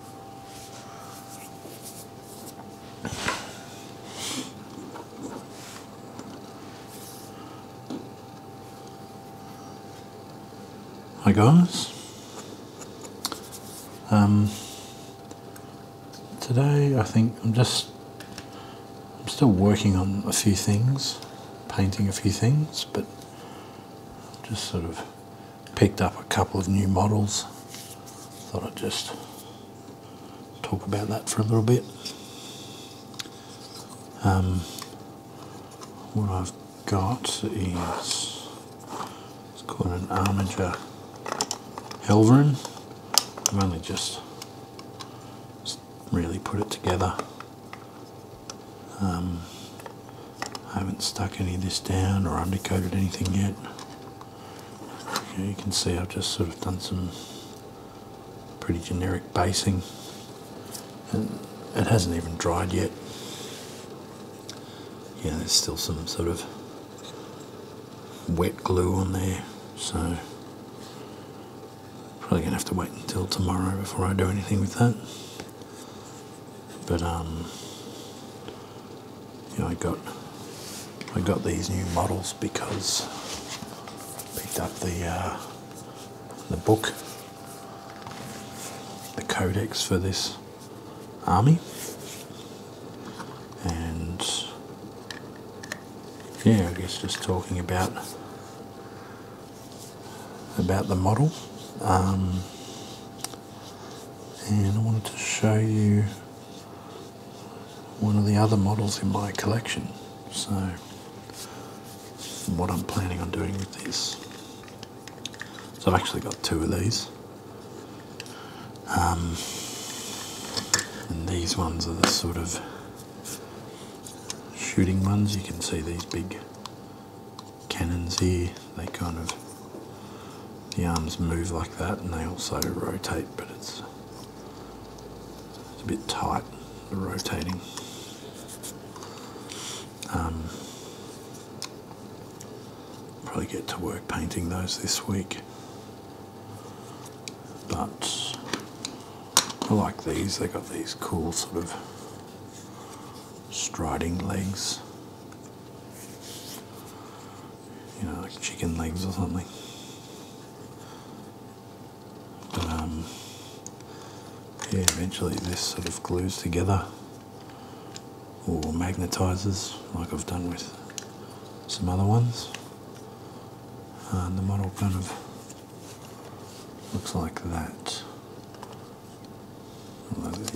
Hi guys. Um, today I think I'm just I'm still working on a few things, painting a few things, but just sort of picked up a couple of new models. Thought I'd just talk about that for a little bit. Um, what I've got is it's called an Armiger Helverin. I've only just, really put it together. Um, I haven't stuck any of this down or undercoated anything yet. you can see I've just sort of done some pretty generic basing and it hasn't even dried yet. Yeah, there's still some sort of wet glue on there, so probably gonna have to wait until tomorrow before I do anything with that. But um, you I got I got these new models because I picked up the uh, the book, the codex for this army, and yeah, I guess just talking about about the model. Um, and I wanted to show you one of the other models in my collection so what I'm planning on doing with this so I've actually got two of these um, and these ones are the sort of shooting ones you can see these big Cannons here they kind of, the arms move like that and they also rotate, but it's, it's a bit tight, the rotating. Um, probably get to work painting those this week. But I like these, they got these cool sort of striding legs you know, like chicken legs or something. Um, yeah, eventually this sort of glues together or magnetizes, like I've done with some other ones. and the model kind of looks like that.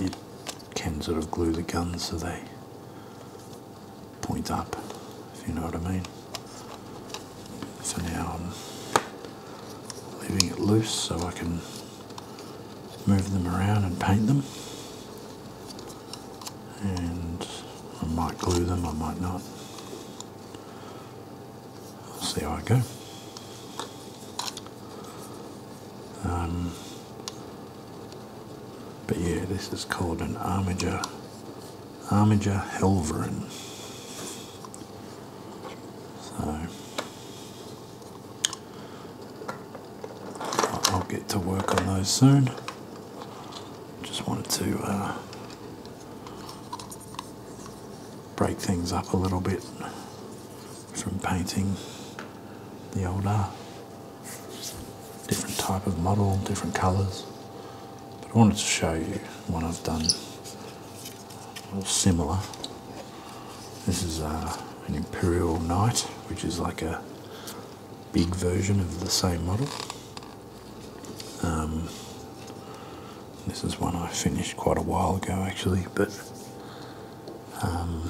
You can sort of glue the guns so they point up, if you know what I mean. So now I'm leaving it loose so I can move them around and paint them. And I might glue them, I might not. see how I go. Um, but yeah, this is called an Armiger, Armiger Helverin. So I'll get to work on those soon. Just wanted to uh, break things up a little bit from painting the older, Different type of model, different colours. But I wanted to show you one I've done similar. This is uh, an Imperial Knight, which is like a big version of the same model. Um, this is one I finished quite a while ago actually, but um,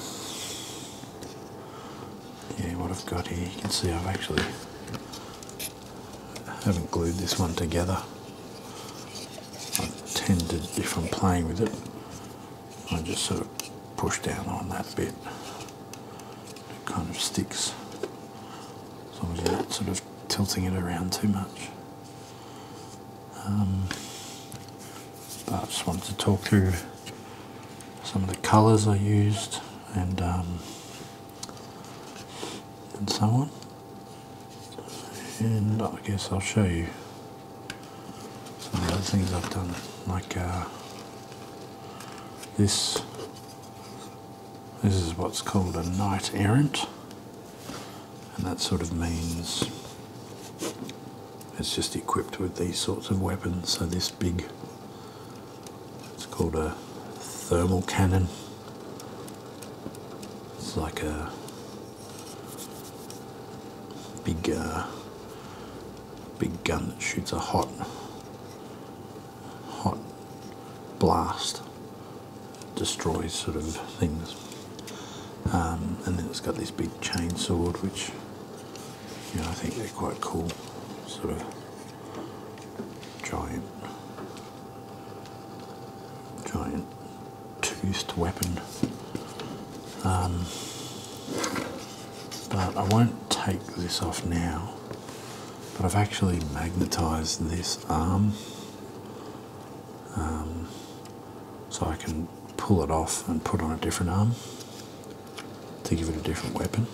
yeah, what I've got here, you can see I've actually haven't glued this one together. I tend to, if I'm playing with it, I just sort of push down on that bit. It kind of sticks, as long as you're not sort of tilting it around too much but um, I just wanted to talk through some of the colours I used and um, and so on. And I guess I'll show you some of the other things I've done, like uh, this. This is what's called a knight errant and that sort of means it's just equipped with these sorts of weapons so this big it's called a thermal cannon it's like a big uh, big gun that shoots a hot hot blast destroys sort of things um, and then it's got this big chain which I think they're quite cool, sort of giant, giant toothed weapon. Um, but I won't take this off now. But I've actually magnetized this arm um, so I can pull it off and put on a different arm to give it a different weapon.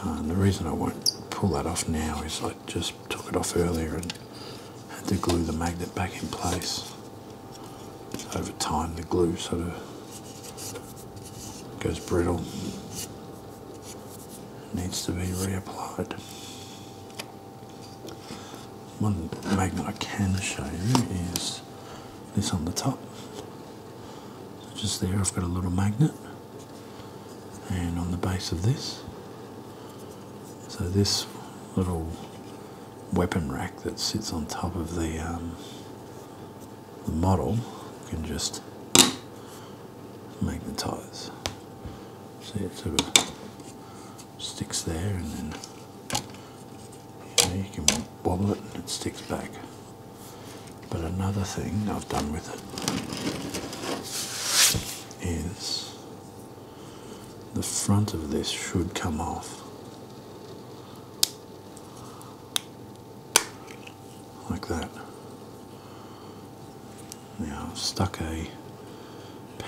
Uh, the reason I won't pull that off now is I just took it off earlier and had to glue the magnet back in place. Over time the glue sort of goes brittle, needs to be reapplied. One magnet I can show you is this on the top. just there I've got a little magnet and on the base of this. So this little weapon rack that sits on top of the, um, the model can just magnetize. See it sort sticks there and then you, can wobble it and it sticks back but another thing I've done with it is the front of this should come off like that now I've stuck a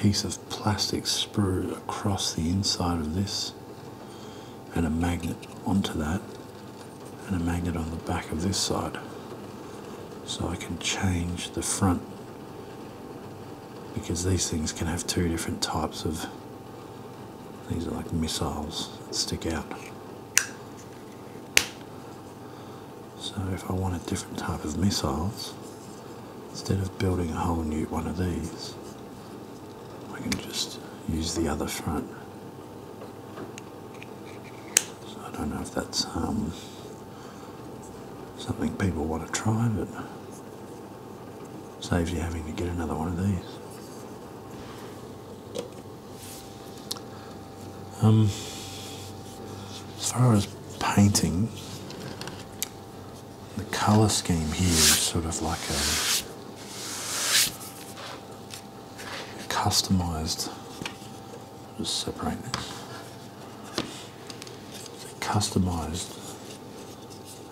piece of plastic sprue across the inside of this and a magnet onto that and a magnet on the back of this side so I can change the front because these things can have two different types of these are like missiles that stick out so if I want a different type of missiles, instead of building a whole new one of these, I can just use the other front. So I don't know if that's um, something people want to try, but saves you having to get another one of these. Um, as far as painting, the color scheme here is sort of like a, a customized. Just separate this. customized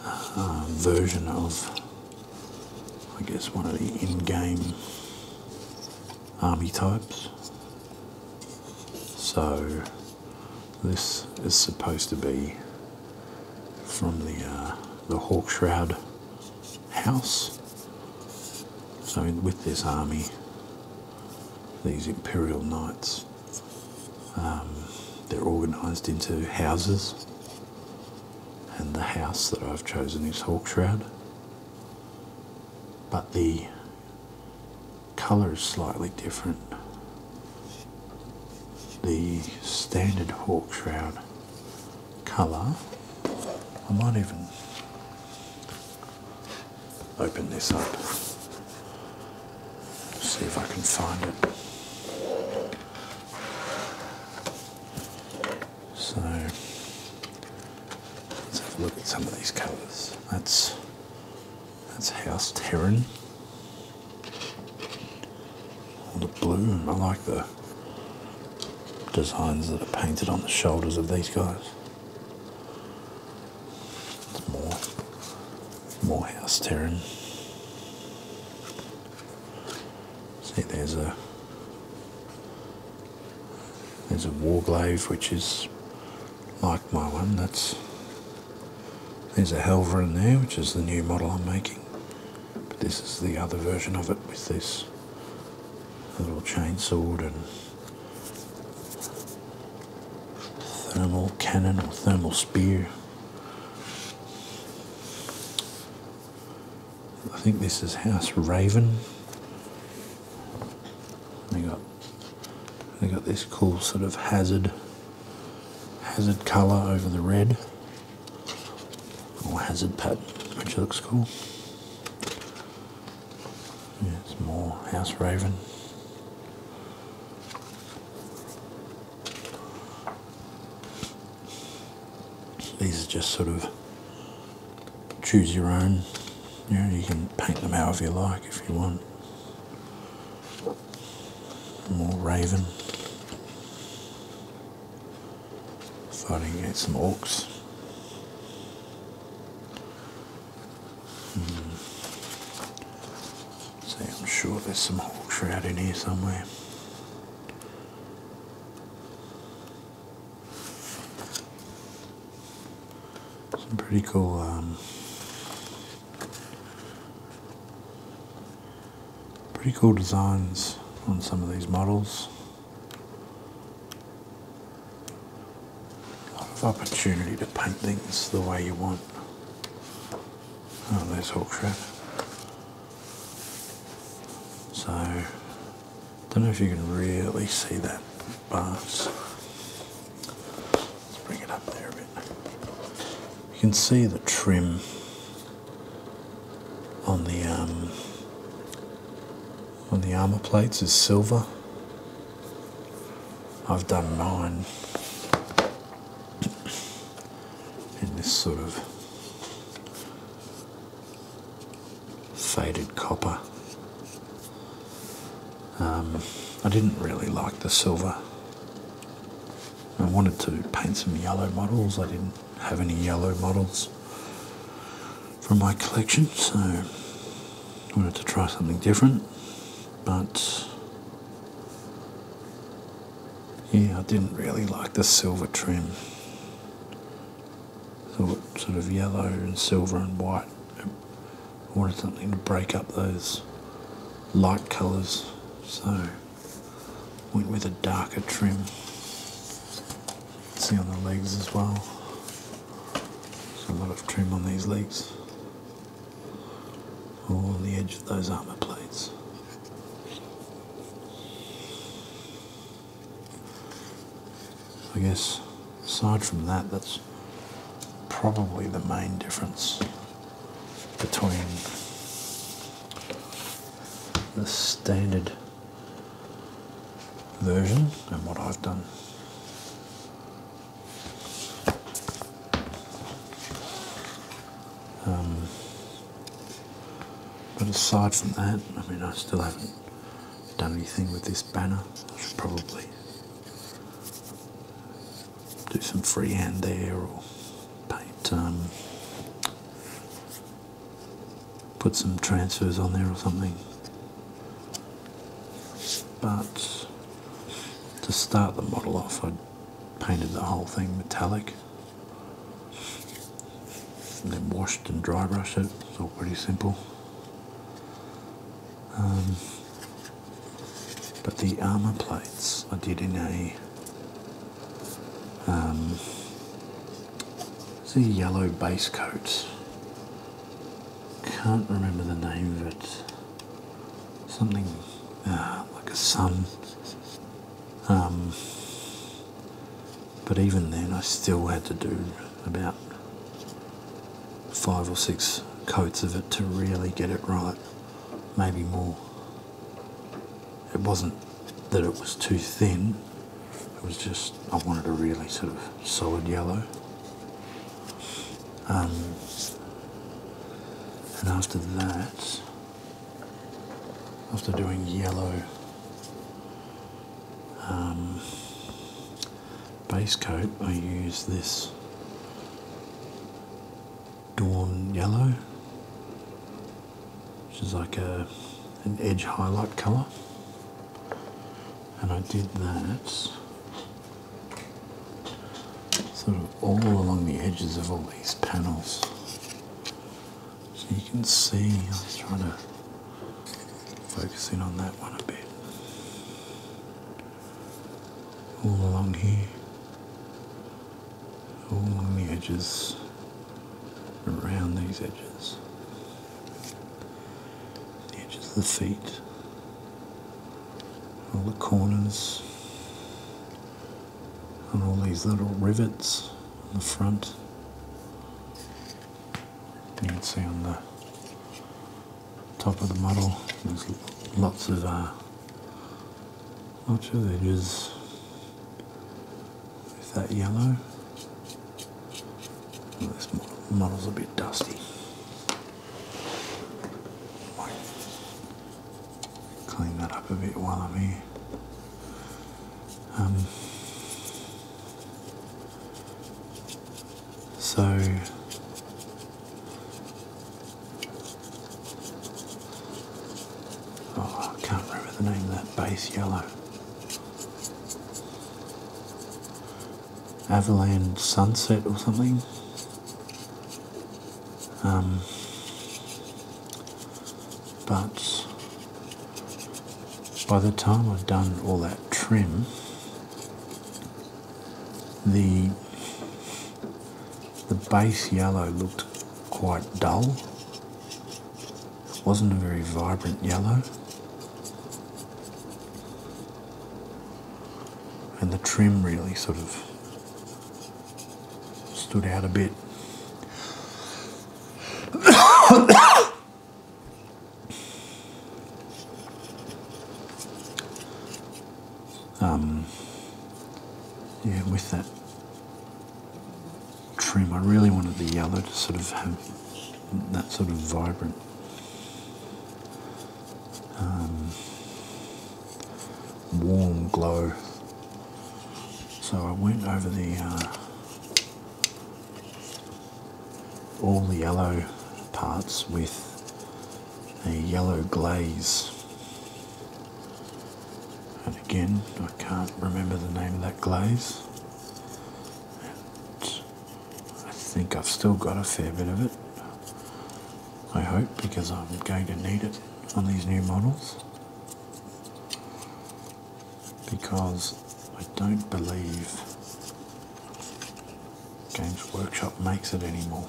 uh, version of, I guess, one of the in-game army types. So this is supposed to be from the uh, the Hawk Shroud house. So with this army, these Imperial Knights, um, they're organised into houses, and the house that I've chosen is Hawk Shroud. But the Colour is slightly different. The standard hawk shroud colour. I might even open this up. See if I can find it. So let's have a look at some of these colours. That's that's House Terran. the blue, I like the designs that are painted on the shoulders of these guys. It's more, more House Terran. See, there's a there's a war glaive which is like my one. That's There's a Helver in there, which is the new model I'm making. But this is the other version of it with this little chainsword and thermal cannon or thermal spear. I think this is House Raven. They got they got this cool sort of hazard hazard colour over the red or hazard pattern, which looks cool. it's more house raven. These are just sort of choose your own you, you can paint them however you like if you want. More raven. So I some orcs. Hmm. See, I'm sure there's some hawk shroud in here somewhere. Some pretty cool um, pretty cool designs on some of these models. A of opportunity to paint things the way you want. Oh, there's Hawkshire. So, don't know if you can really see that bars. You can see the trim on the um, on the armor plates is silver. I've done mine in this sort of faded copper um, I didn't really like the silver. I wanted to paint some yellow models. I didn't have any yellow models from my collection, so I wanted to try something different. But yeah, I didn't really like the silver trim. Thought sort of yellow and silver and white wanted something to break up those light colours so went with a darker trim see on the legs as well there's a lot of trim on these legs all on the edge of those armour plates I guess aside from that, that's probably the main difference between the standard version and what I've done. Um, but aside from that, I mean, I still haven't done anything with this banner. I should probably do some freehand there or paint, um, put some transfers on there or something. But to start the model off, I painted the whole thing metallic then washed and dry brushed it. It's all pretty simple. Um, but the armor plates I did in a um, a yellow base coat. Can't remember the name of it. Something uh, like a sun. Um, but even then, I still had to do about five or six coats of it to really get it right, maybe more. It wasn't that it was too thin, it was just I wanted a really sort of solid yellow. Um, and after that, after doing yellow um, base coat, I use this Dawn Yellow, which is like a an edge highlight color, and I did that sort of all along the edges of all these panels. So you can see I was trying to Focusing on that one a bit. All along here. All along the edges. Around these edges. The edges of the feet. All the corners. And all these little rivets on the front. You can see on the top of the model. There's lots of uh, ultra edges with that yellow. this model's a bit dusty. clean that up a bit while I'm here. Um, so oh, I can't remember the name of that base yellow. Avaland Sunset or something. Um, but by the time i had done all that trim, the the base yellow looked quite dull. It wasn't a very vibrant yellow. And the trim really sort of stood out a bit. Um, with that trim, I really wanted the yellow to sort of have that sort of vibrant um, warm glow. So I went over the uh, all the yellow parts with a yellow glaze. And again, I can't remember the name of that glaze. And I think I've still got a fair bit of it. I hope because I'm going to need it on these new models because I don't believe Games Workshop makes it anymore.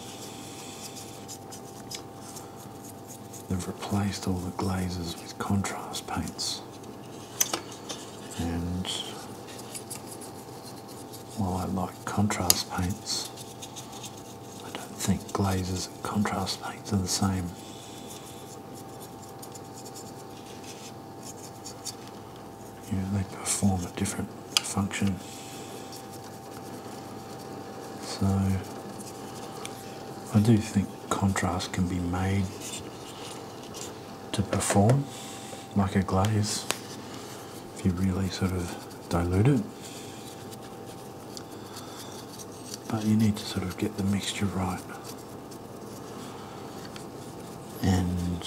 They've replaced all the glazes with contrast paints. And while I like contrast paints, I don't think glazes and contrast paints are the same you they perform a different function. So I do think contrast can be made to perform like a glaze if you really sort of dilute it. But you need to sort of get the mixture right and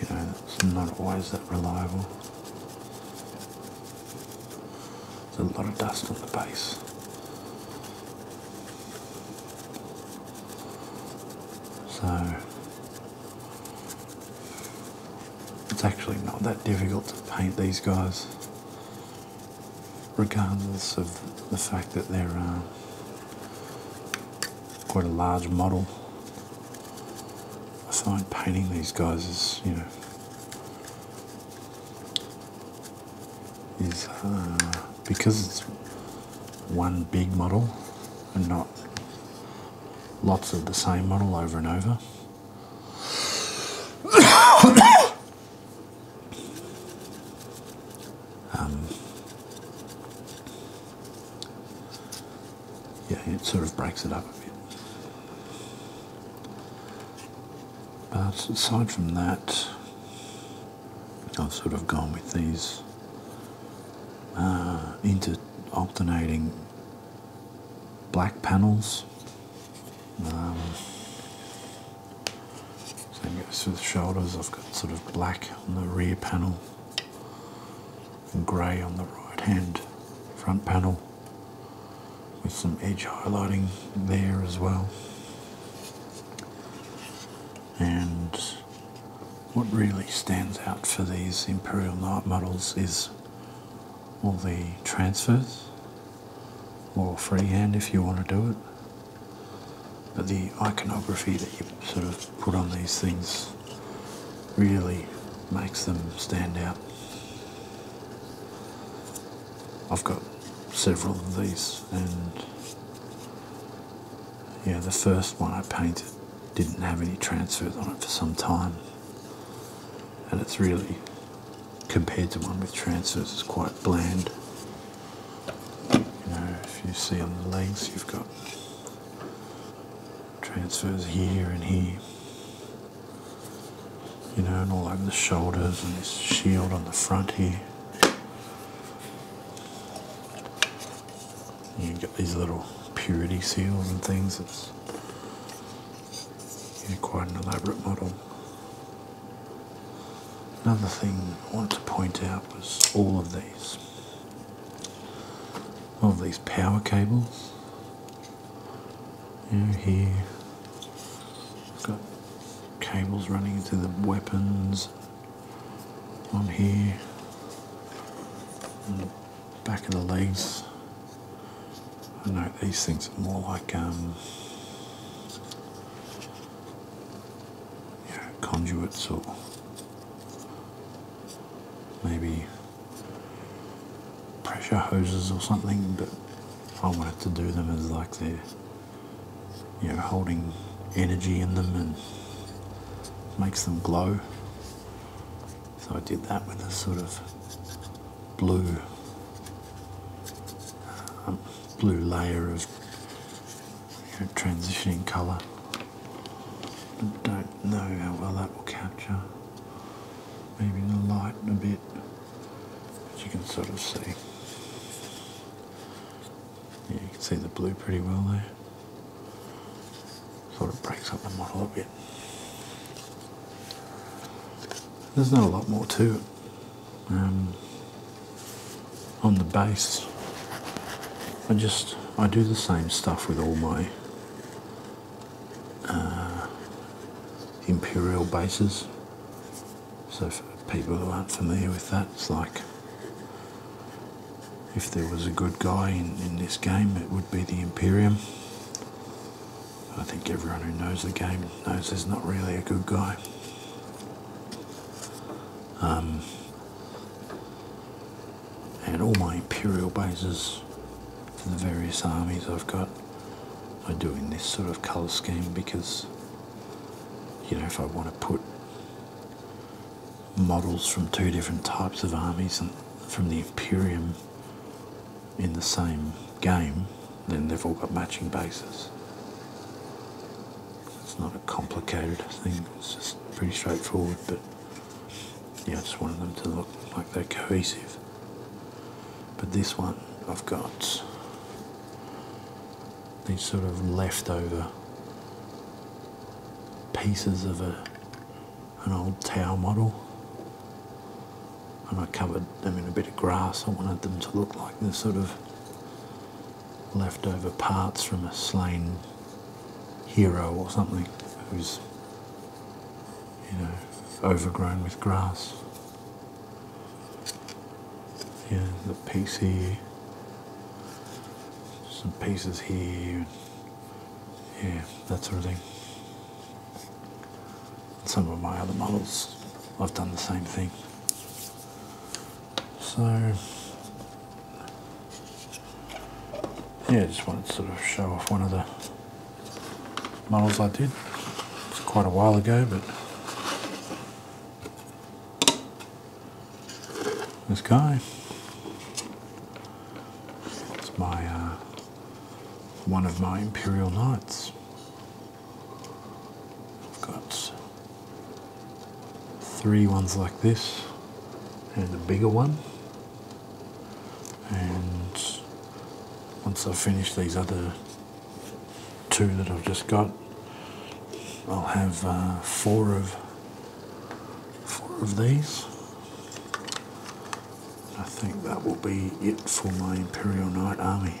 you know it's not always that reliable. There's a lot of dust on the base. So it's actually not that difficult to paint these guys regardless of the fact that they're quite a large model. I find painting these guys is, you know, is because it's one big model and not lots of the same model over and over. Um, yeah, it sort of breaks it up a bit. But aside from that, I've sort of gone with these uh, inter-alternating black panels. Um, same goes for the shoulders. I've got sort of black on the rear panel and grey on the right hand front panel with some edge highlighting there as well. And what really stands out for these Imperial Knight models is all the transfers or freehand if you want to do it. But the iconography that you sort of put on these things really makes them stand out. I've got several of these and yeah the first one I painted didn't have any transfers on it for some time and it's really compared to one with transfers it's quite bland. You know, if you see on the legs, you've got transfers here and here. You know, and all over the shoulders and this shield on the front here. You have got these little purity seals and things. It's quite an elaborate model. Another thing I wanted to point out was all of these. All of these power cables. You know, here. Got cables running into the weapons on here. On back of the legs. I know these things are more like um, yeah, conduits or maybe pressure hoses or something, but I wanted to do them as like they're you know holding energy in them and makes them glow. So I did that with a sort of blue um, blue layer of transitioning colour. I don't know how well that will capture. Maybe the light a bit, but you can sort of see. Yeah, you can see the blue pretty well there. Sort of breaks up the model a bit. There's not a lot more to it. Um, on the base, I just I do the same stuff with all my uh, imperial bases. So for people who aren't familiar with that, it's like if there was a good guy in, in this game, it would be the Imperium. I think everyone who knows the game knows he's not really a good guy. Um, and all my imperial bases for the various armies I've got are doing this sort of colour scheme because, you know, if I want to put models from two different types of armies and from the Imperium in the same game, then they've all got matching bases. It's not a complicated thing, it's just pretty straightforward, but yeah, I just wanted them to look like they're cohesive. But this one, I've got these sort of leftover pieces of a, an old tower model and I covered them in a bit of grass. I wanted them to look like the sort of leftover parts from a slain hero or something who's, you know, overgrown with grass. Yeah, the piece here, some pieces here, yeah, that sort of thing some of my other models, I've done the same thing. So, yeah, just wanted to sort of show off one of the models I did. It's quite a while ago, but this guy. It's my, uh, one of my Imperial Knights. I've got three ones like this and a bigger one and once I finish these other two that I've just got I'll have uh, four of four of these I think that will be it for my Imperial Knight army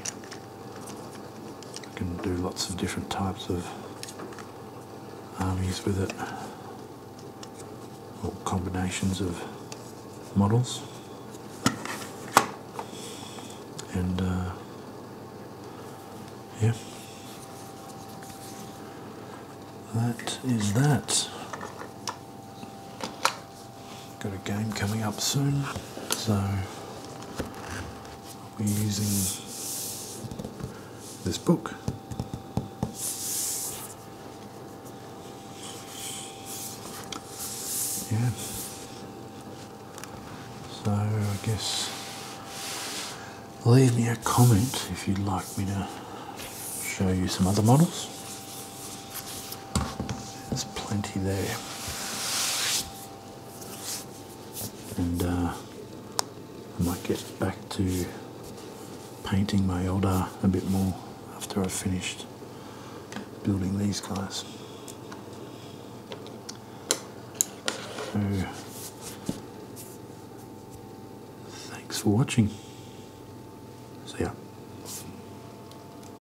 I can do lots of different types of armies with it or combinations of models and uh, yeah that is that Got a game coming up soon, so I'll be using this book. Yeah. So I guess leave me a comment if you'd like me to show you some other models. There's plenty there. And uh, I might get back to painting my elder a bit more after I've finished building these guys. So, thanks for watching. See ya.